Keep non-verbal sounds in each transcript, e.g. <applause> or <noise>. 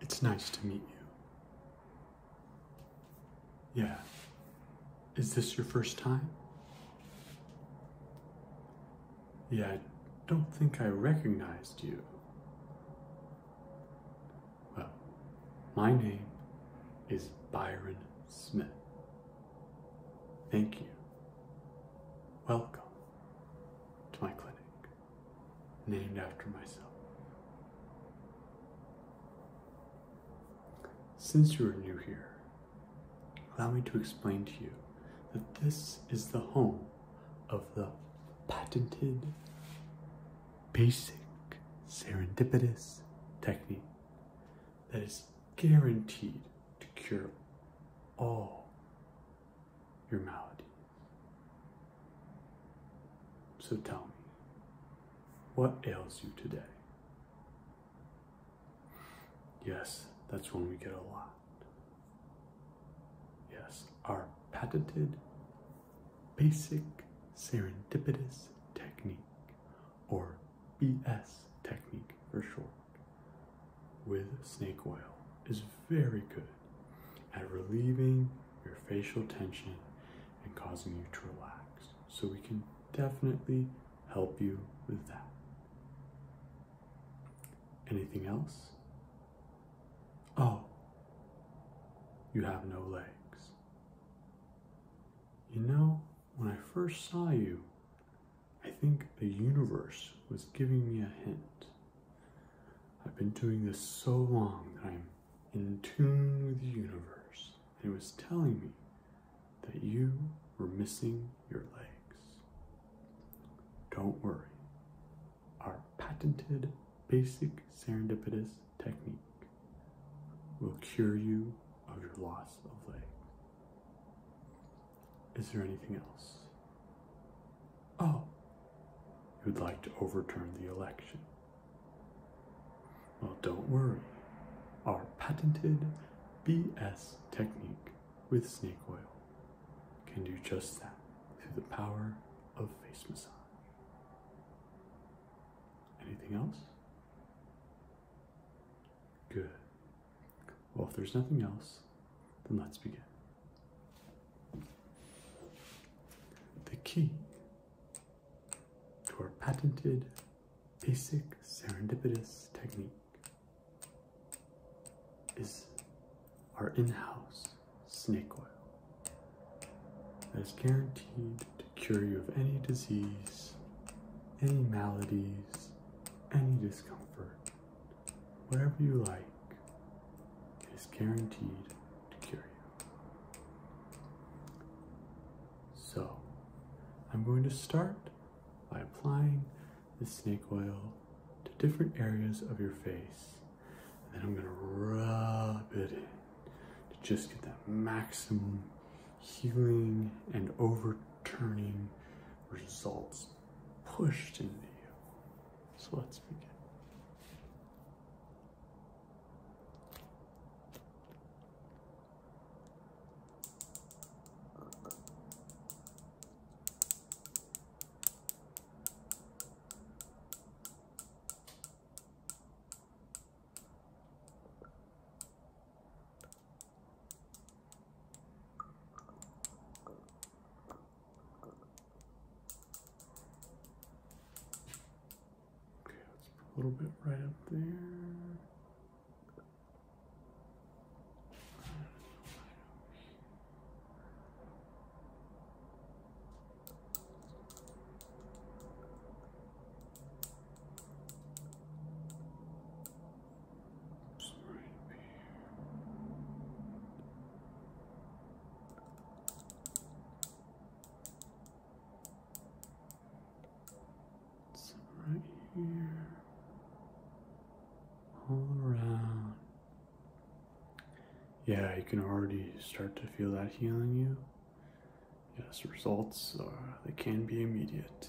It's nice to meet you. Yeah. Is this your first time? Yeah, I don't think I recognized you. Well, my name is Byron Smith. Thank you. Welcome to my clinic, named after myself. Since you are new here, allow me to explain to you that this is the home of the patented basic serendipitous technique that is guaranteed to cure all your maladies. So tell me, what ails you today? Yes, that's when we get a lot. Yes, our patented, basic, serendipitous technique, or BS technique for short, with snake oil is very good at relieving your facial tension and causing you to relax. So we can definitely help you with that. Anything else? Oh, you have no legs. You know, when I first saw you, I think the universe was giving me a hint. I've been doing this so long that I'm in tune with the universe, and it was telling me that you were missing your legs. Don't worry. Our patented basic serendipitous technique will cure you of your loss of legs. Is there anything else? Oh, you'd like to overturn the election. Well, don't worry. Our patented BS technique with snake oil can do just that through the power of face massage. Anything else? Good. Well, if there's nothing else, then let's begin. The key to our patented basic serendipitous technique is our in-house snake oil that is guaranteed to cure you of any disease, any maladies, any discomfort, whatever you like, is guaranteed to cure you. So, I'm going to start by applying the snake oil to different areas of your face, and then I'm going to rub it in to just get that maximum healing and overturning results pushed into you. So let's begin. Okay, let's put a little bit right up there. Oops, right here. So right here, all around. Yeah, you can already start to feel that healing you. Yes, results they can be immediate.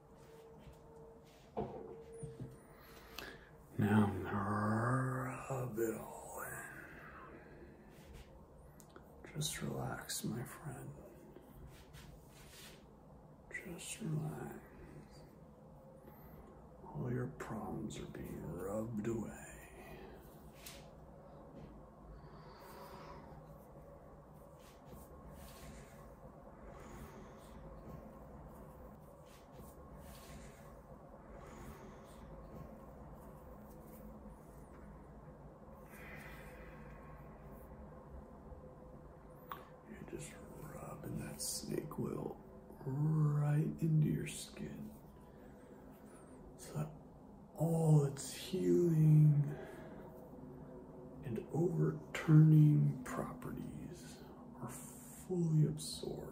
Now rub it all in. Just relax, my friend. Just relax. All your problems are being rubbed away. You're just rubbing that snake oil right into your skin. So that oh, its healing and overturning properties are fully absorbed.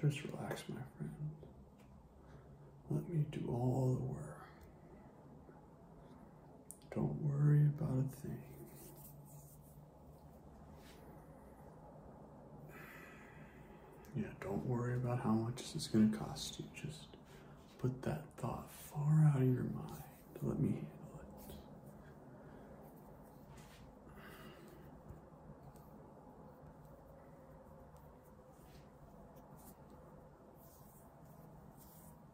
Just relax, my friend. Let me do all the work. Don't worry about a thing. Yeah, don't worry about how much this is going to cost you. Just put that thought far out of your mind. Let me handle it.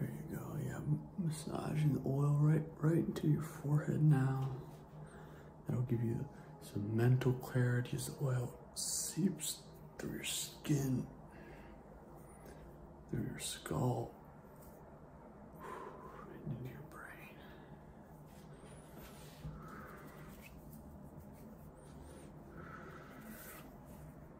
There you go. Yeah, massaging the oil right right into your forehead now. That'll give you some mental clarity as the oil seeps through your skin, through your skull, into your brain.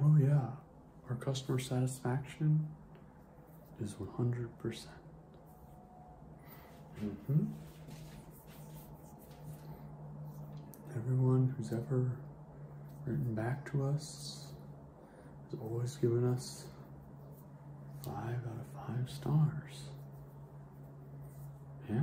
Oh yeah, our customer satisfaction is 100%. Mm -hmm. Everyone who's ever written back to us has always given us Five out of five stars. Yeah.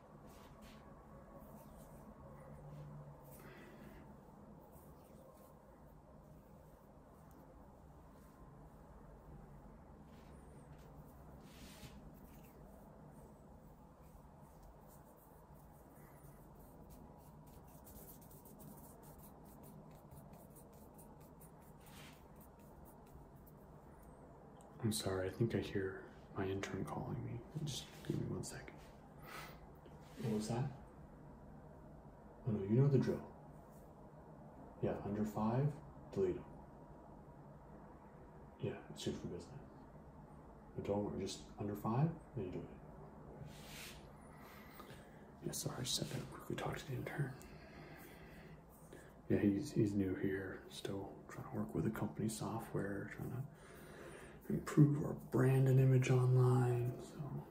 I'm sorry, I think I hear my intern calling me. Just give me one second. What was that? Oh no, you know the drill. Yeah, under five, delete them. Yeah, it's good for business. But don't worry, just under five, then you do it. Yeah, sorry, I just had to quickly talk to the intern. Yeah, he's, he's new here, still trying to work with the company software, trying to improve our brand and image online. So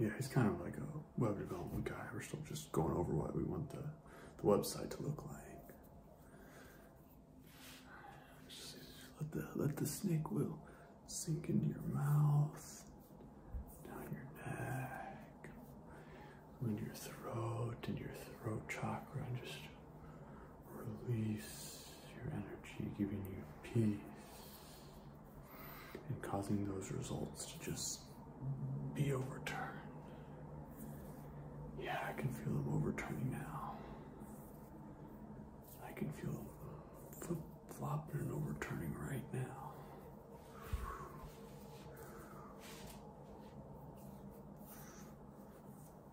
yeah, he's kind of like a web development guy. We're still just going over what we want the, website to look like. let the, let the snake will sink into your mouth, down your neck, into your throat, into your throat chakra, and just release your energy, giving you peace and causing those results to just be overturned. Yeah, I can feel them overturning now. I can feel them flip flopping and overturning right now.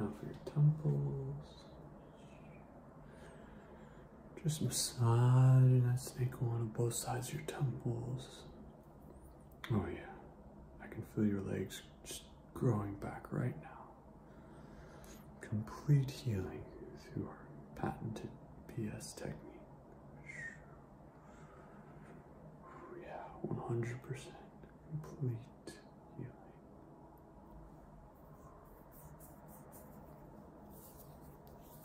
Now for your temples. Just massaging that snake on both sides of your temples. Oh, yeah. I can feel your legs just growing back right now. Complete healing through our patented PS technique. Oh, yeah, 100% complete. healing.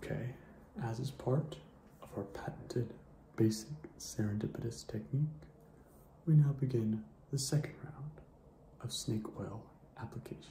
Okay, as is part of our patented basic serendipitous technique, we now begin the second round of snake oil application.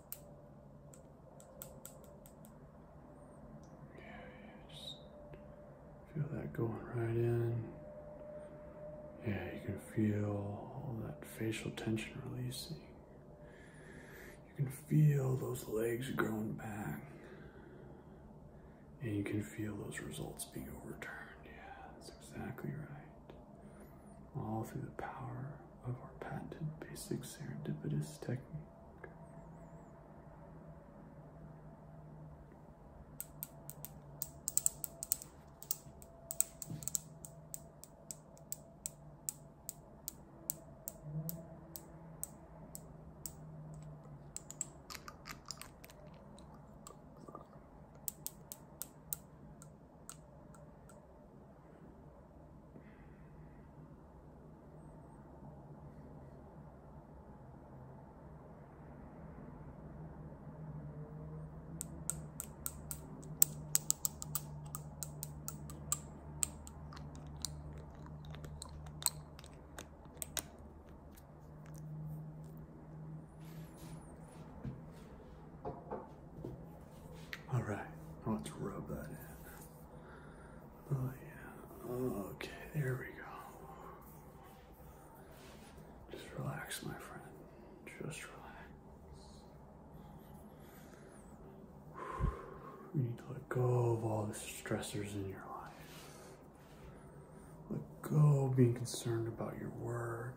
just feel that going right in. Yeah, you can feel all that facial tension releasing. You can feel those legs growing back. And you can feel those results being overturned. Yeah, that's exactly right. All through the power of our patented basic serendipitous technique. All right, let's rub that in. Oh yeah. Okay, there we go. Just relax, my friend. Just relax. You need to let go of all the stressors in your life. Let go of being concerned about your work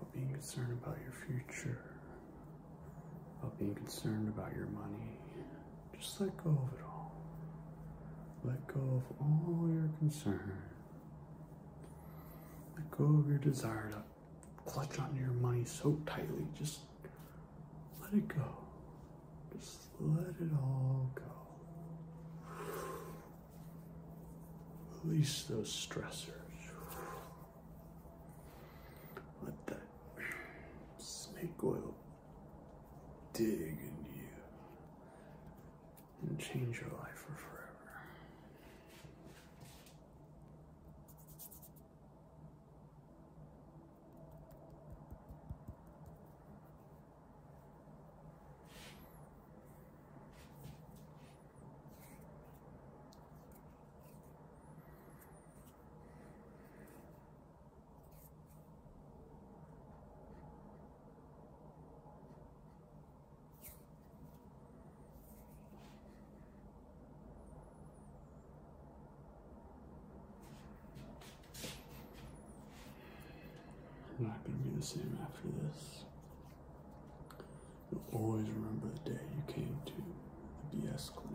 about being concerned about your future, about being concerned about your money. Just let go of it all. Let go of all your concern. Let go of your desire to clutch on your money so tightly. Just let it go. Just let it all go. Release those stressors. Let that snake oil dig in you and change your life for forever. I'm not going to be the same after this. You'll always remember the day you came to the BS clinic.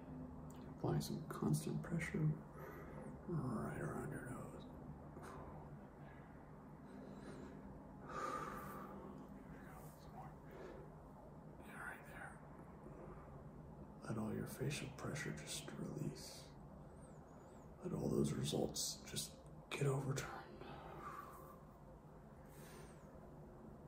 Apply some constant pressure right around your nose. There right there. Let all your facial pressure just release. Let all those results just get overturned.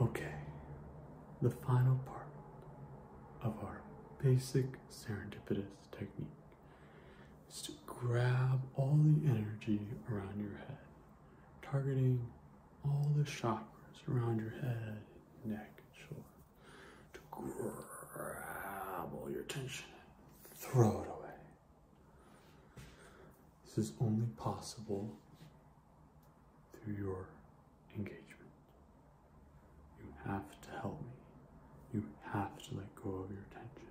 Okay, the final part of our basic serendipitous technique is to grab all the energy around your head, targeting all the chakras around your head, neck, shoulder, to grab all your tension throw it away. This is only possible through your engagement. You have to help me. You have to let go of your tension.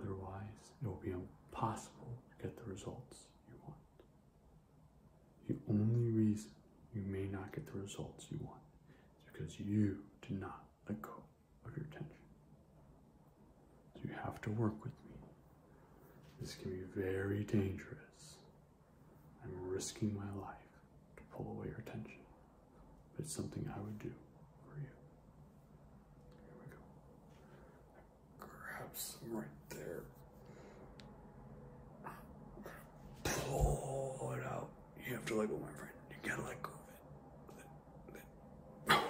Otherwise, it will be impossible to get the results you want. The only reason you may not get the results you want is because you do not let go of your tension. So you have to work with me. This can be very dangerous. I'm risking my life to pull away your tension. But it's something I would do for you. Here we go. Grab some right there. Pull it out. You have to let go, my friend. You gotta let go of it. grab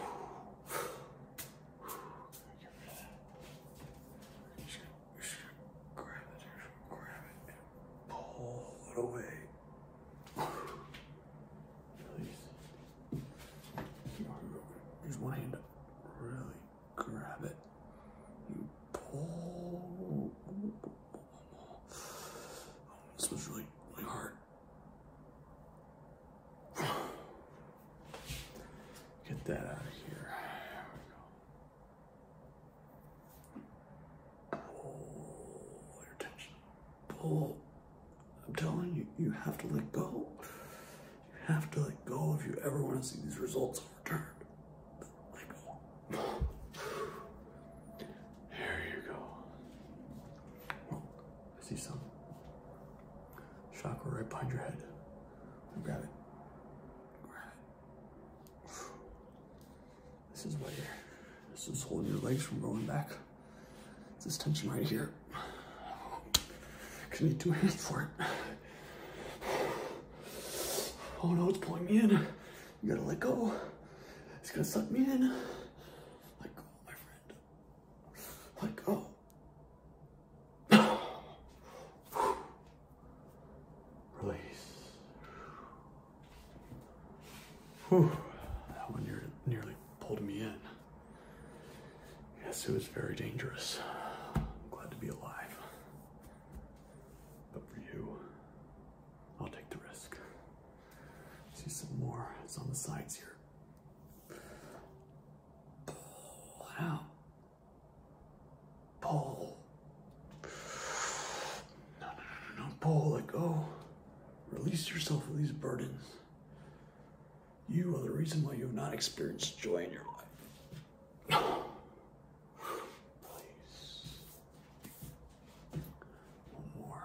it, grab it, and pull it away. Use one hand to really grab it. You pull. this was really, really hard. Get that out of here. Pull. I'm telling you, you have to let go. You have to let go if you ever want to see these results return. <sighs> There you go. I see some chakra right behind your head. Grab it. Grab it. <sighs> This is what you're, this is holding your legs from going back. It's this tension right here. I need two hands for it. Oh no, it's pulling me in. You gotta let go. It's gonna suck me in. Let go, my friend. Let go. <sighs> Release. Whew, that one nearly pulled me in. Yes, it was very dangerous. I'm glad to be alive. But for you, I'll take the risk. See some more. It's on the sides here. Pull out. Pull. no, no, no, no. Pull. Let go. Release yourself of these burdens. You are the reason why you have not experienced joy in your life. Please. One more.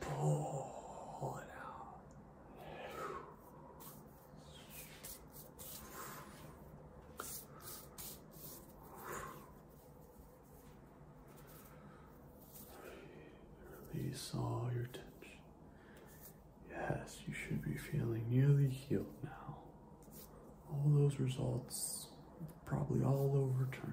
Pull it out. Release all your tension. Yes, you should be feeling nearly healed now. All those results probably all overturned.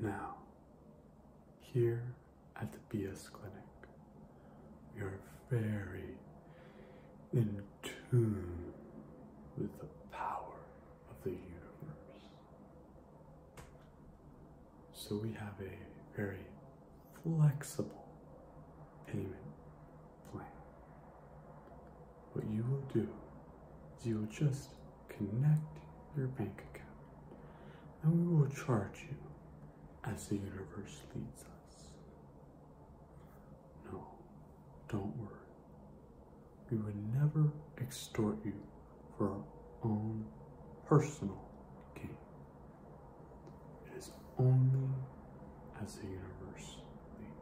Now, here at the BS Clinic, we are very in tune with the power of the universe. So we have a very flexible payment plan what you will do is you will just connect your bank account and we will charge you as the universe leads us. No, don't worry. We would never extort you for our own personal gain. It is only as the universe leads.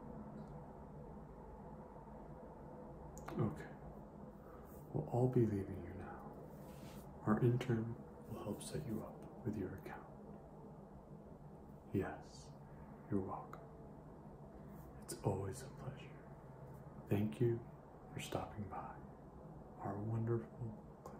Okay. We'll all be leaving you now. Our intern will help set you up with your account. Yes, you're welcome. It's always a pleasure. Thank you for stopping by our wonderful clinic.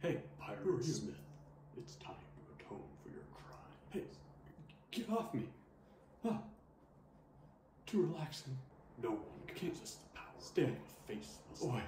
Hey, Pyro Smith, it's time to atone for your crime. Hey, get off me! Ah, too relaxing. No one can resist the power. Stay of a faceless.